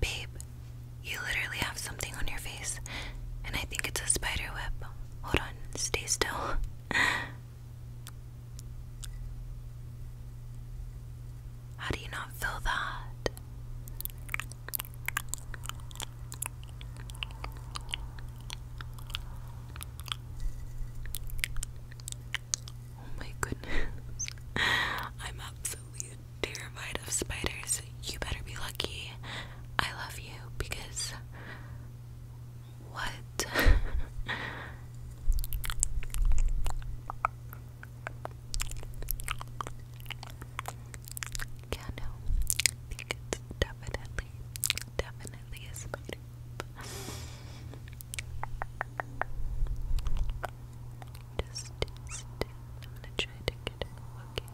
Babe, you literally have something on your face, and I think it's a spider web. Hold on, stay still. How do you not feel that? Oh my goodness. I'm absolutely terrified of spiders, you better be lucky. I love you because what? yeah, no. I think it's definitely, definitely a spider. Just still. I'm gonna try to get it Okay.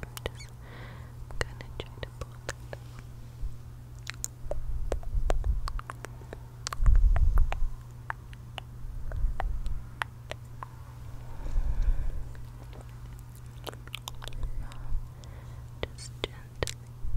I'm gonna try to pull it Just gently pull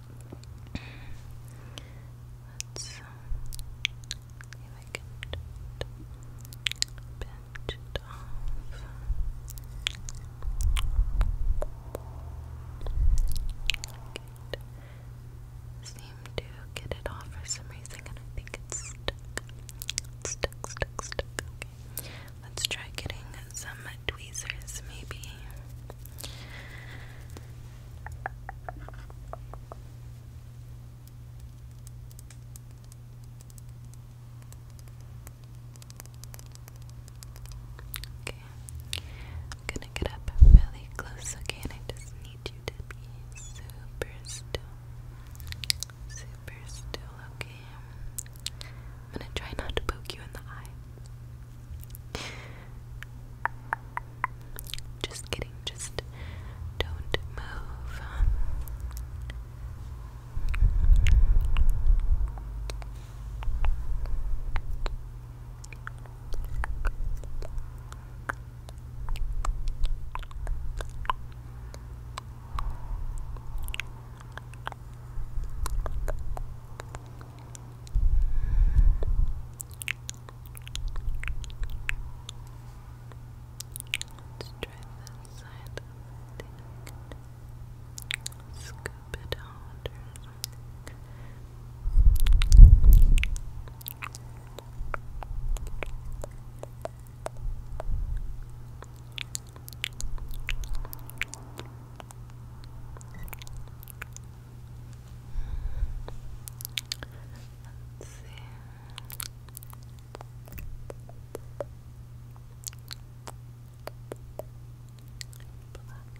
Let's um, see if I can pinch it off. Good. Seem to get it off for some reason, and I think it's stuck. stuck, stuck, stuck. Okay. Let's try getting some tweezers, maybe. Okay, I'm gonna get up really close, okay? I just need you to be super still. Super still, okay? I'm gonna try not to poke you in the eye. Just kidding, just don't move. Let's try this side. Scoop it out or something. Brush Let's see. Black.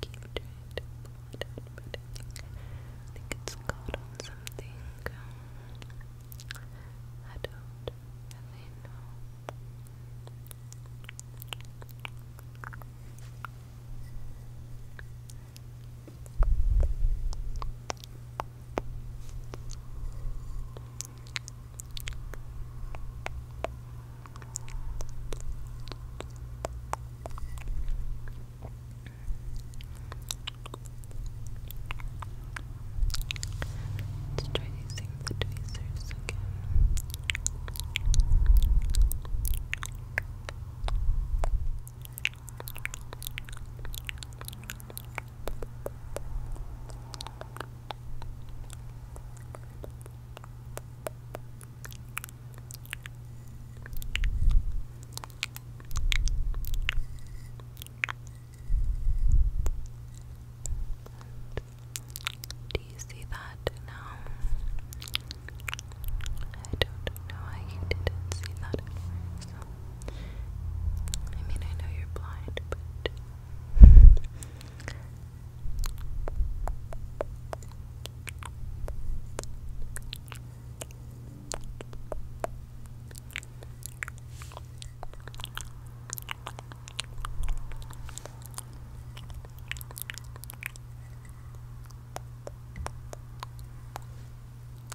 Keep trying it I think it's caught on something. I don't really know. Let's try using the tweezers again. Okay. Do you see that now? I don't know how you didn't see that I mean, I know you're blind, but.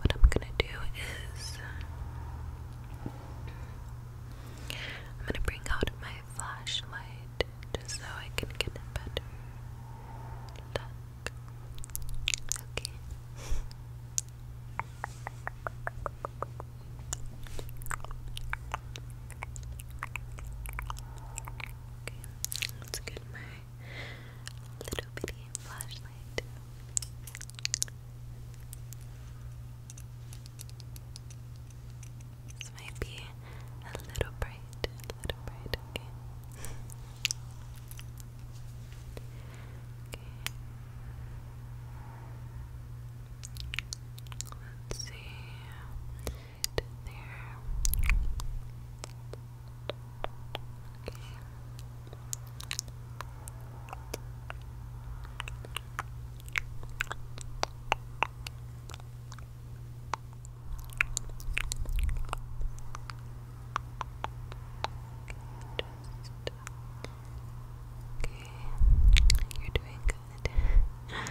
What I'm gonna do is I'm gonna bring out my flashlight just so I can get a better Okay, let's get my little bitty flashlight. This might be a little bright, a little bright, okay. okay. Let's see. Right there. Okay, you're doing good.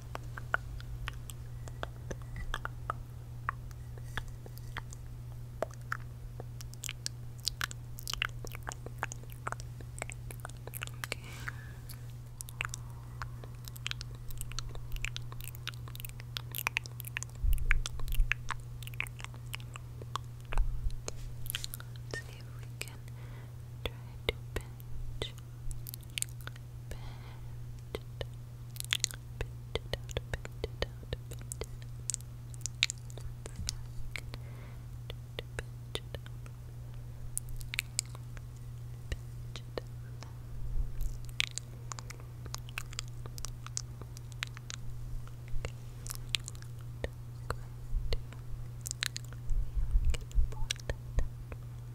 Let's see if we can try to pinch. Pinch it. Pinch it out, pinch it out, pinch it out. Pinch it out. Pinch it out. Okay. I'm going to see if I can pull that down.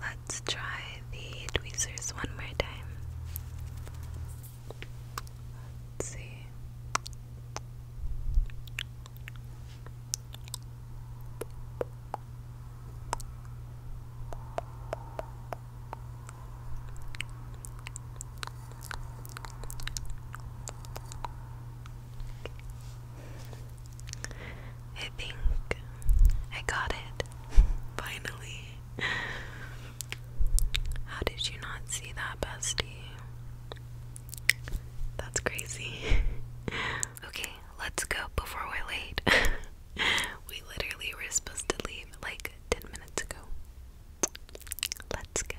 Let's try the tweezers one more time. Let's see. I think I got it. Finally. How did you not see that, bestie? That's crazy. okay, let's go before we're late. we literally were supposed to leave like 10 minutes ago. Let's go.